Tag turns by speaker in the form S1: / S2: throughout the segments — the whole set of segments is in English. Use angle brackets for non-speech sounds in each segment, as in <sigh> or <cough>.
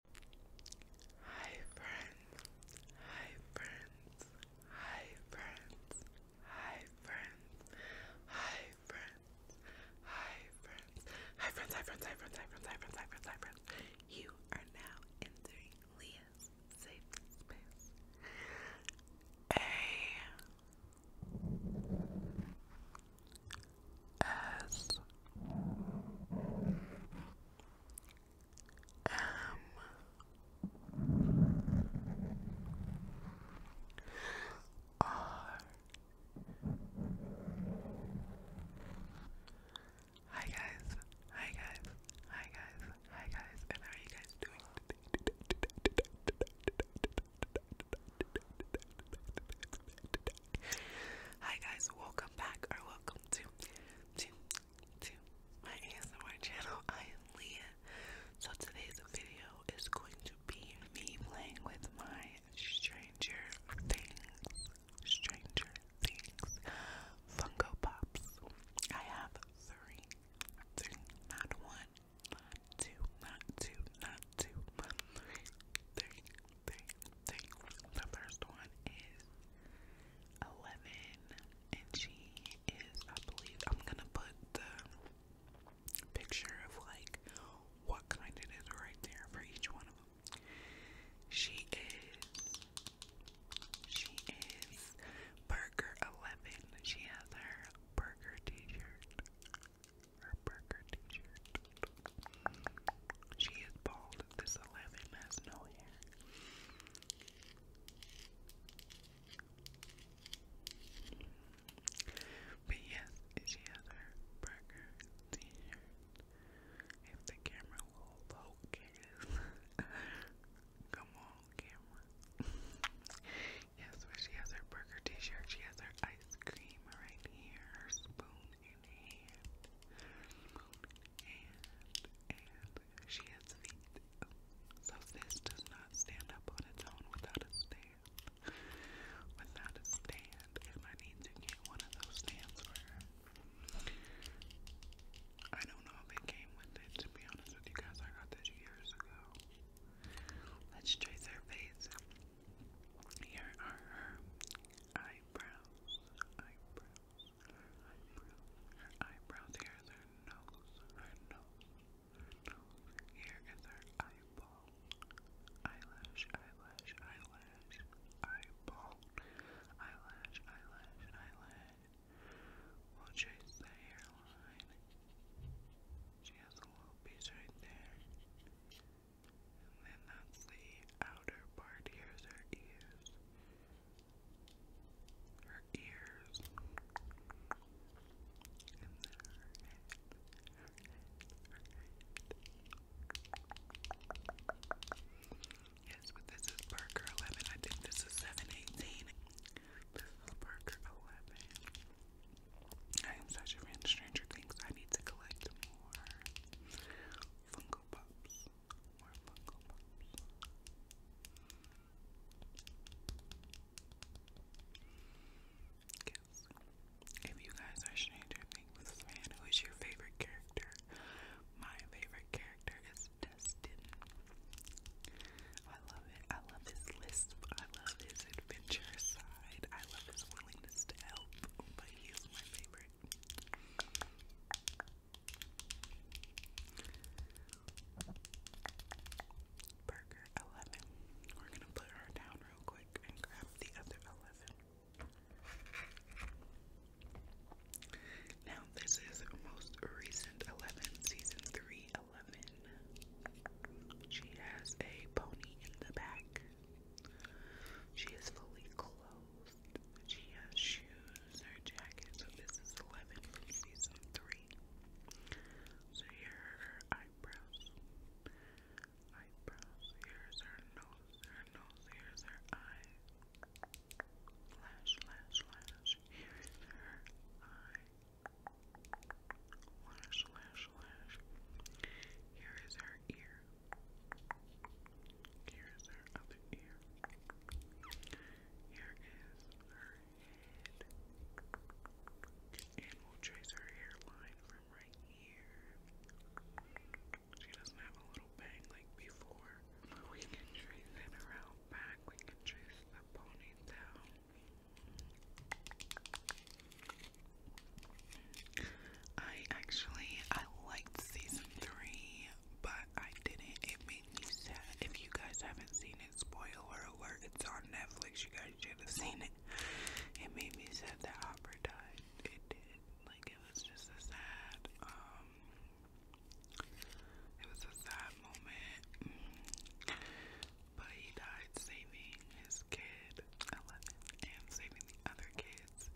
S1: Hi friends, hi friends, hi friends, hi friends, hi friends, hi friends, hi friends, hi friends, hi friends, hi friends, hi friends, hi friends, You are now entering Leah's safe space. A S M R Hi guys, hi guys, hi guys, hi guys, and how are you guys doing <laughs> <laughs> Hi guys, welcome back or welcome to to to my ASMR channel. <laughs> I am Leah. So today's video is going to be me playing with my Stranger Things, Stranger Things Funko Pops. I have three, not one, two, not two, not two, the first one is 11, and she is, I believe, I'm gonna put the picture of like what kind it is right there for each one of them. She is, she is Burger 11. She has her burger t shirt. Her burger t shirt. She is bald. This eleven has no hair. But yes, she has her burger t-shirt. If the camera will focus. <laughs> Come on, camera. <laughs> yes, but she has her burger t-shirt. She has her ice cream right here. Her spoon in hand and and she has feet. So this does not stand up on its own without a stand. Without a stand, I need to get one of those stands for her. I don't know if it came with it, to be honest with you guys. I got this years ago. Let's trace her face. Here are her eyebrows eyebrows, her eyebrows, eyebrows, here is her nose, her nose, here is her eyeball, eyelash, eyelash, eyelash, eyeball, eyelash, eyelash, eyelash, we'll trace the hairline, she has a little piece right there. And then that's the outer part. Here's her ears. Her ears. Yes, but this is Parker 11. I think this is 718. This is Parker 11. I am such a fan of Stranger Things. I need to collect more Funko Pops. If you guys are Stranger Things fan, who is your favorite character? My favorite character is Destin. I love it. I love his lisp. I love his adventure side. I love his willingness to help. But he my favorite. Burger 11. We're going to put her down real quick and grab the other 11. Now, this is most recent 11, season 3 She has a pony in the back. She is fully clothed. She has shoes or jacket. So this is 11 from season 3. So here are her eyebrows. Eyebrows. Here's her nose. Her nose. Here's her eye. Lash, lash, lash. Here's her eye. Lash, lash, lash. Here is her ear ear. Here is her other ear. Here is her head. And we'll trace her hairline from right here. She doesn't have a little bang like before. we can trace it around back. We can trace the ponytail. I actually I liked season three, but I didn't. It made me sad. If you guys haven't seen it, spoiler alert, it's on Netflix. You guys should have seen it. It made me sad that Hopper died. It did. Like it was just a sad, um it was a sad moment. Mm. But he died saving his kid. I love it. And saving the other kid kids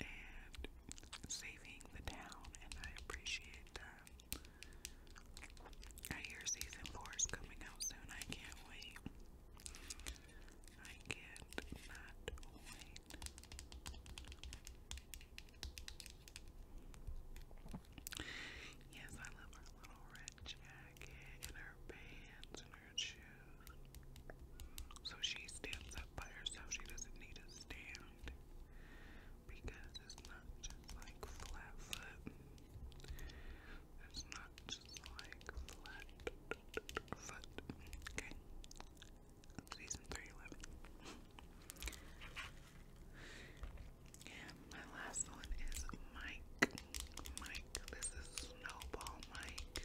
S1: and saving the town, and I appreciate that. I hear season four is coming out soon. I can't wait. I can't not wait. Yes, I love her little red jacket and her pants and her shoes. So she stands up by herself. She doesn't need to stand because it's not just like flat foot. It's not just like flat foot. Okay. Season 311. my last one is Mike. Mike. This is Snowball Mike.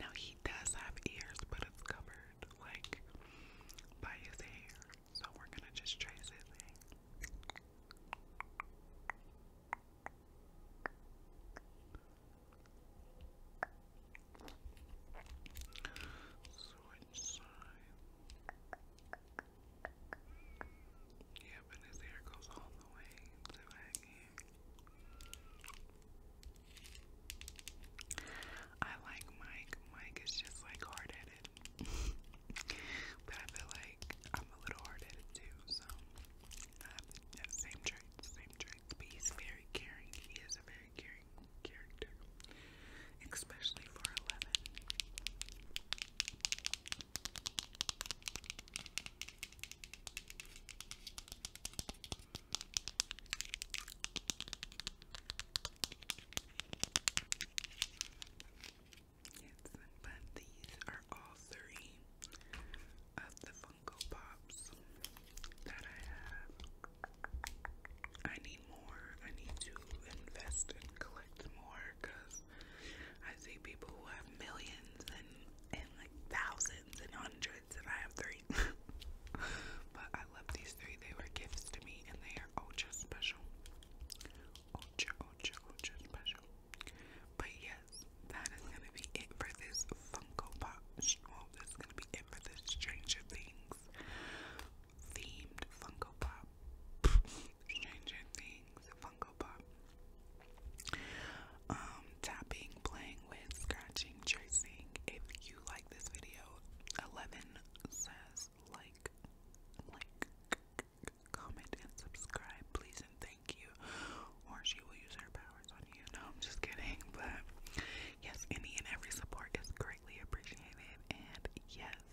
S1: now he does have ears, but it's covered like by his hair. So we're gonna just trace his Switch side. Yeah, but his hair goes all the way to back here. I like Mike. Mike is just like hard <laughs> but I feel like I'm a little hard too, so same traits, same traits. But he's very caring. He is a very caring character. Especially for eleven. Yes, but these are all three of the Funko Pops that I have. I need more. I need to invest and collect more because I see people who have millions and and like thousands and hundreds, and I have three. <laughs> but I love these three. They were gifts to me, and they are ultra special. Ultra, ultra, ultra special. But yes, that is gonna be it for this Funko Pop. Well, that's gonna be it for this Stranger Things themed Funko Pop. Stranger Things, Funko Pop. Um, tapping, playing with, scratching, tracing. If you like this video, 11 says like, like, comment, and subscribe, please, and thank you. Or she will use her powers on you. No, I'm just kidding. But yes, any and every support is greatly appreciated. And yes,